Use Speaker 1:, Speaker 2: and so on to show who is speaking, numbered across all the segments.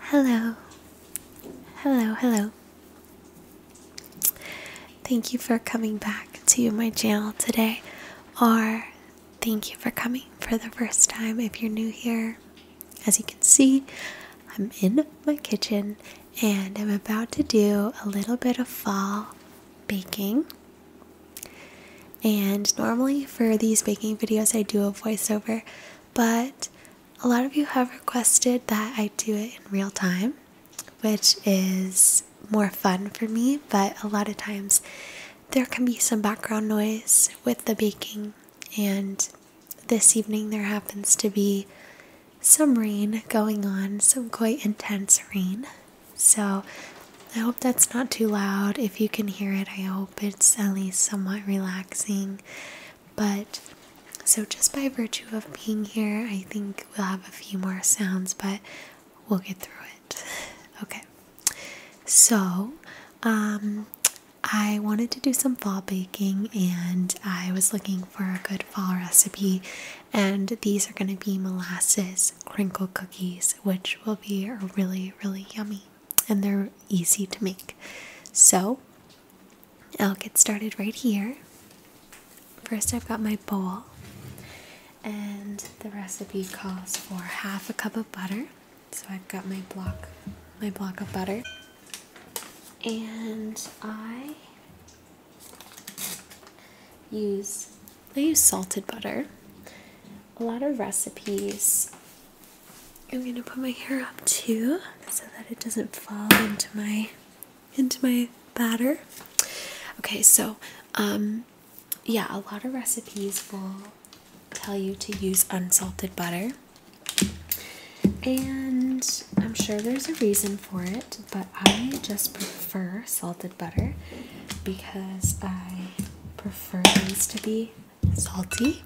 Speaker 1: Hello, hello, hello. Thank you for coming back to my channel today, or thank you for coming for the first time if you're new here. As you can see, I'm in my kitchen and I'm about to do a little bit of fall baking. And normally, for these baking videos, I do a voiceover, but a lot of you have requested that I do it in real time, which is more fun for me, but a lot of times there can be some background noise with the baking, and this evening there happens to be some rain going on, some quite intense rain. So I hope that's not too loud. If you can hear it, I hope it's at least somewhat relaxing. But so, just by virtue of being here, I think we'll have a few more sounds, but we'll get through it. Okay. So, um, I wanted to do some fall baking and I was looking for a good fall recipe, and these are going to be molasses crinkle cookies, which will be really, really yummy and they're easy to make. So I'll get started right here. First, I've got my bowl, and the recipe calls for half a cup of butter. So I've got my block, my block of butter, and I use they use salted butter. A lot of recipes I'm gonna put my hair up too so that it doesn't fall into my into my batter. Okay, so um yeah, a lot of recipes will tell you to use unsalted butter. And I'm sure there's a reason for it, but I just prefer salted butter because I prefer these to be salty.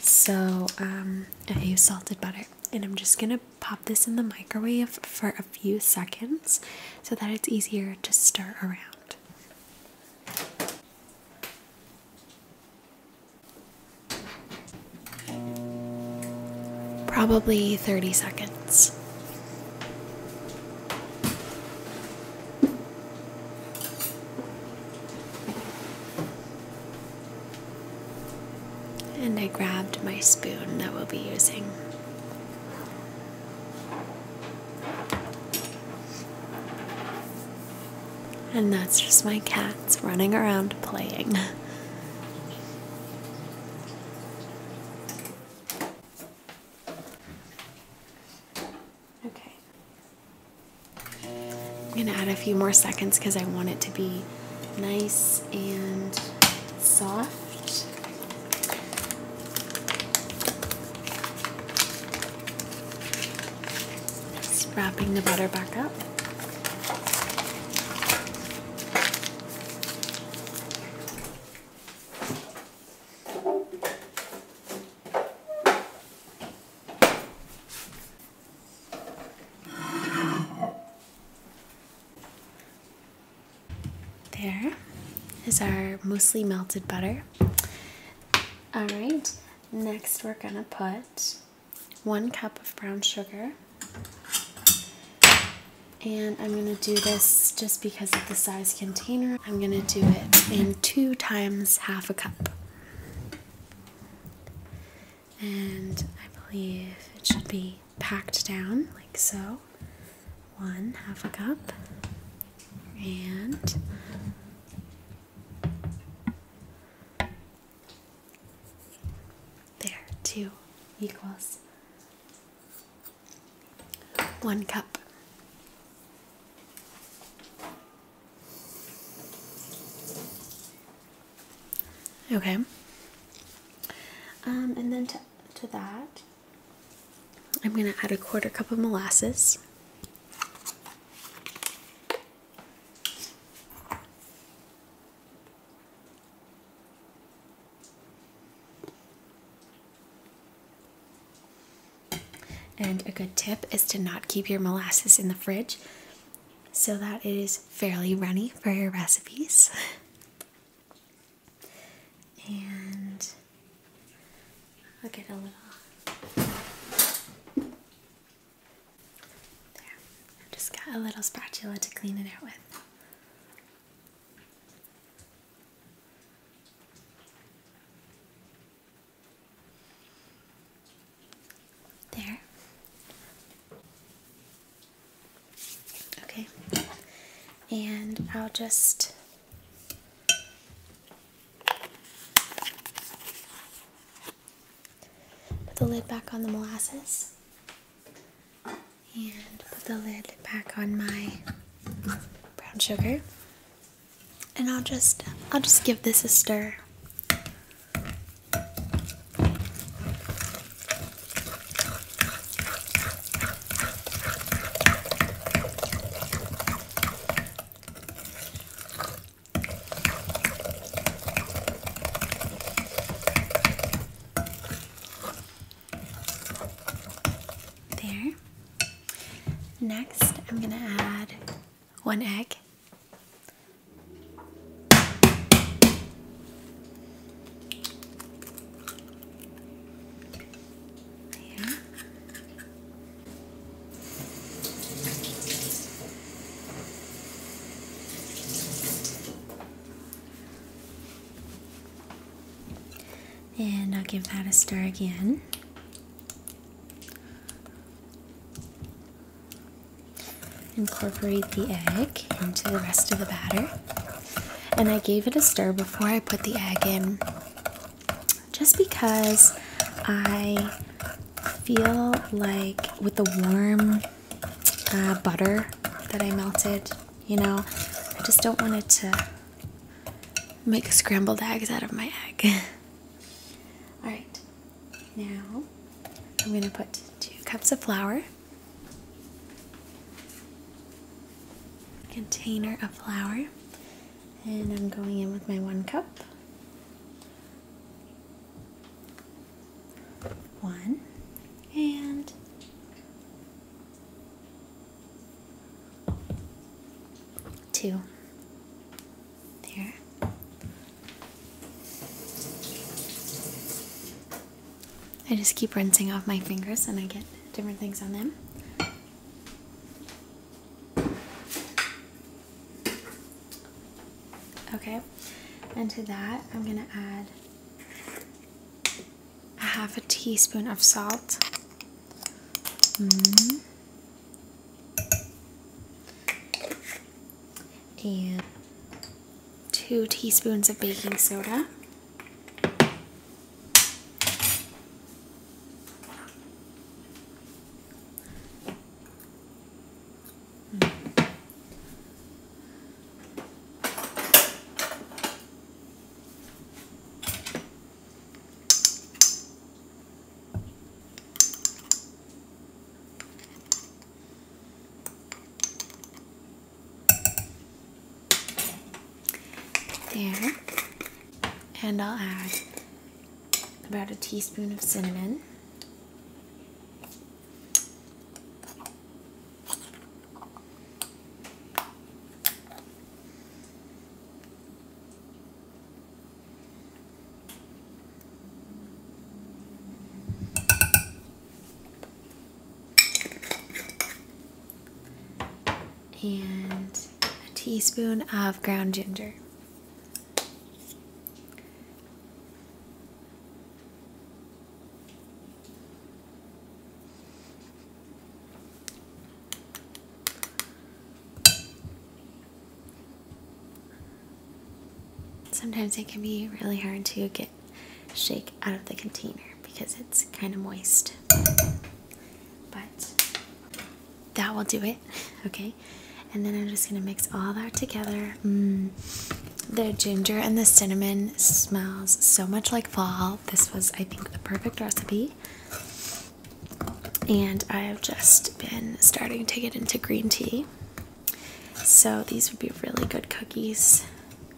Speaker 1: So um, I use salted butter and I'm just gonna pop this in the microwave for a few seconds so that it's easier to stir around. Probably 30 seconds. And I grabbed my spoon that we'll be using. And that's just my cats running around playing. Okay. I'm gonna add a few more seconds because I want it to be nice and soft. Just wrapping the butter back up. There is our mostly melted butter. All right, next we're gonna put one cup of brown sugar. And I'm gonna do this just because of the size container. I'm gonna do it in two times half a cup. And I believe it should be packed down like so. One half a cup. And there, two equals one cup. Okay. Um, and then to, to that, I'm going to add a quarter cup of molasses. And a good tip is to not keep your molasses in the fridge so that it is fairly runny for your recipes. and I'll get a little. There. just got a little spatula to clean it out with. There. Okay. And I'll just put the lid back on the molasses and put the lid back on my brown sugar and I'll just I'll just give this a stir. There. Next, I'm going to add one egg. Here. And I'll give that a stir again. Incorporate the egg into the rest of the batter. And I gave it a stir before I put the egg in just because I feel like with the warm uh, butter that I melted, you know, I just don't want it to make scrambled eggs out of my egg. All right, now I'm going to put two cups of flour, container of flour, and I'm going in with my one cup. One and two. There. I just keep rinsing off my fingers and I get different things on them. Okay, and to that I'm gonna add a half a teaspoon of salt. Mm-hmm and two teaspoons of baking soda. There, and I'll add about a teaspoon of cinnamon and a teaspoon of ground ginger. Sometimes it can be really hard to get shake out of the container because it's kind of moist. But that will do it, okay? And then I'm just gonna mix all that together. Mm. The ginger and the cinnamon smells so much like fall. This was, I think, the perfect recipe and I have just been starting to get into green tea. So these would be really good cookies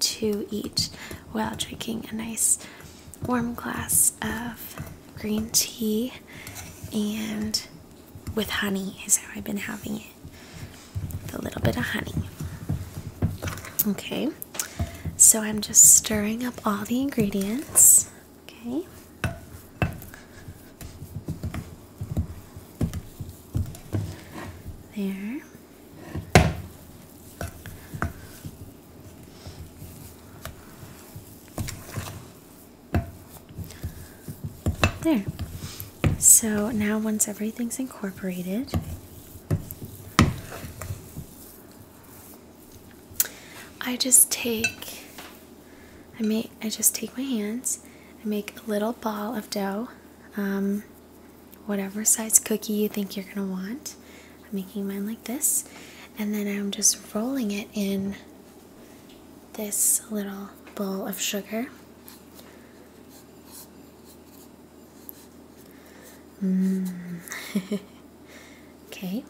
Speaker 1: to eat while drinking a nice warm glass of green tea and with honey is how I've been having it. With a little bit of honey. Okay. So I'm just stirring up all the ingredients. Okay. There. There. So now once everything's incorporated, I just take I make I just take my hands I make a little ball of dough um, whatever size cookie you think you're gonna want I'm making mine like this and then I'm just rolling it in this little bowl of sugar mm. Okay,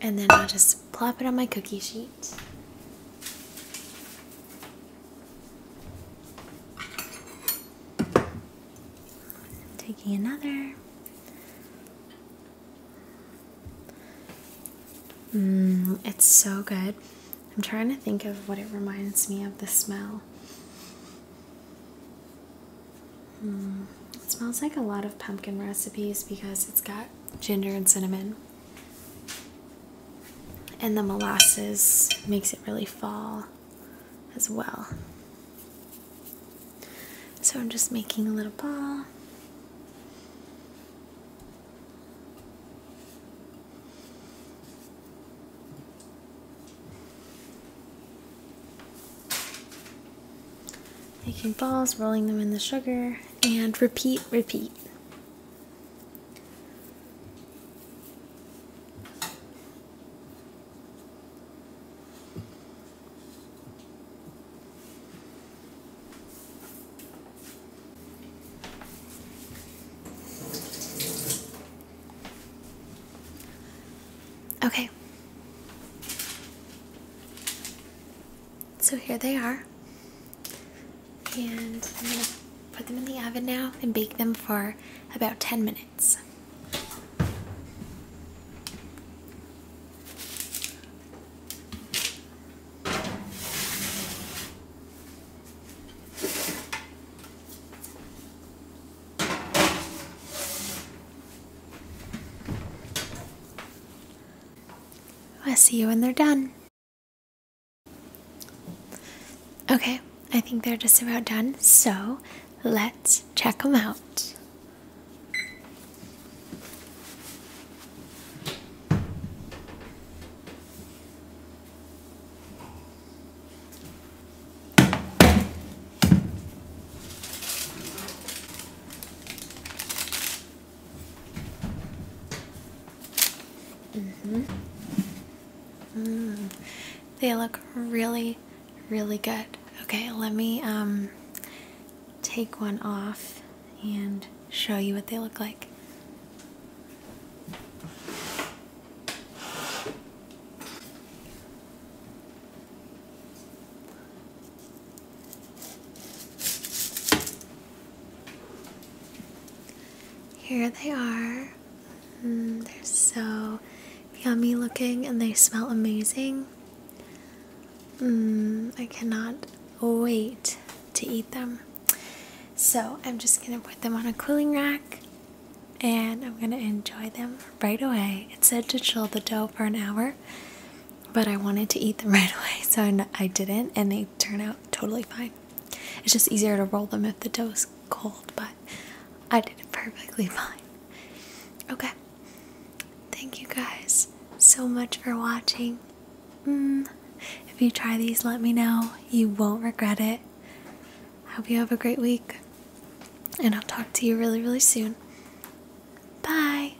Speaker 1: and then I'll just plop it on my cookie sheet. taking another. Mmm, it's so good. I'm trying to think of what it reminds me of the smell. Mm, smells like a lot of pumpkin recipes because it's got ginger and cinnamon. And the molasses makes it really fall as well. So I'm just making a little ball making balls, rolling them in the sugar, and repeat, repeat. Okay. So here they are. And I'm going to put them in the oven now and bake them for about 10 minutes. I will see you when they're done. Okay, I think they're just about done, so let's check them out. Mm -hmm. They look really, really good. Okay, let me um, take one off and show you what they look like. Here they are. Mm, they're so yummy looking and they smell amazing. Mm, I cannot wait to eat them. So I'm just going to put them on a cooling rack and I'm going to enjoy them right away. It said to chill the dough for an hour, but I wanted to eat them right away, so I, I didn't, and they turn out totally fine. It's just easier to roll them if the dough is cold, but I did it perfectly fine. Okay, thank you guys so much for watching. Mm, if you try these, let me know. You won't regret it. Hope you have a great week, and I'll talk to you really, really soon. Bye.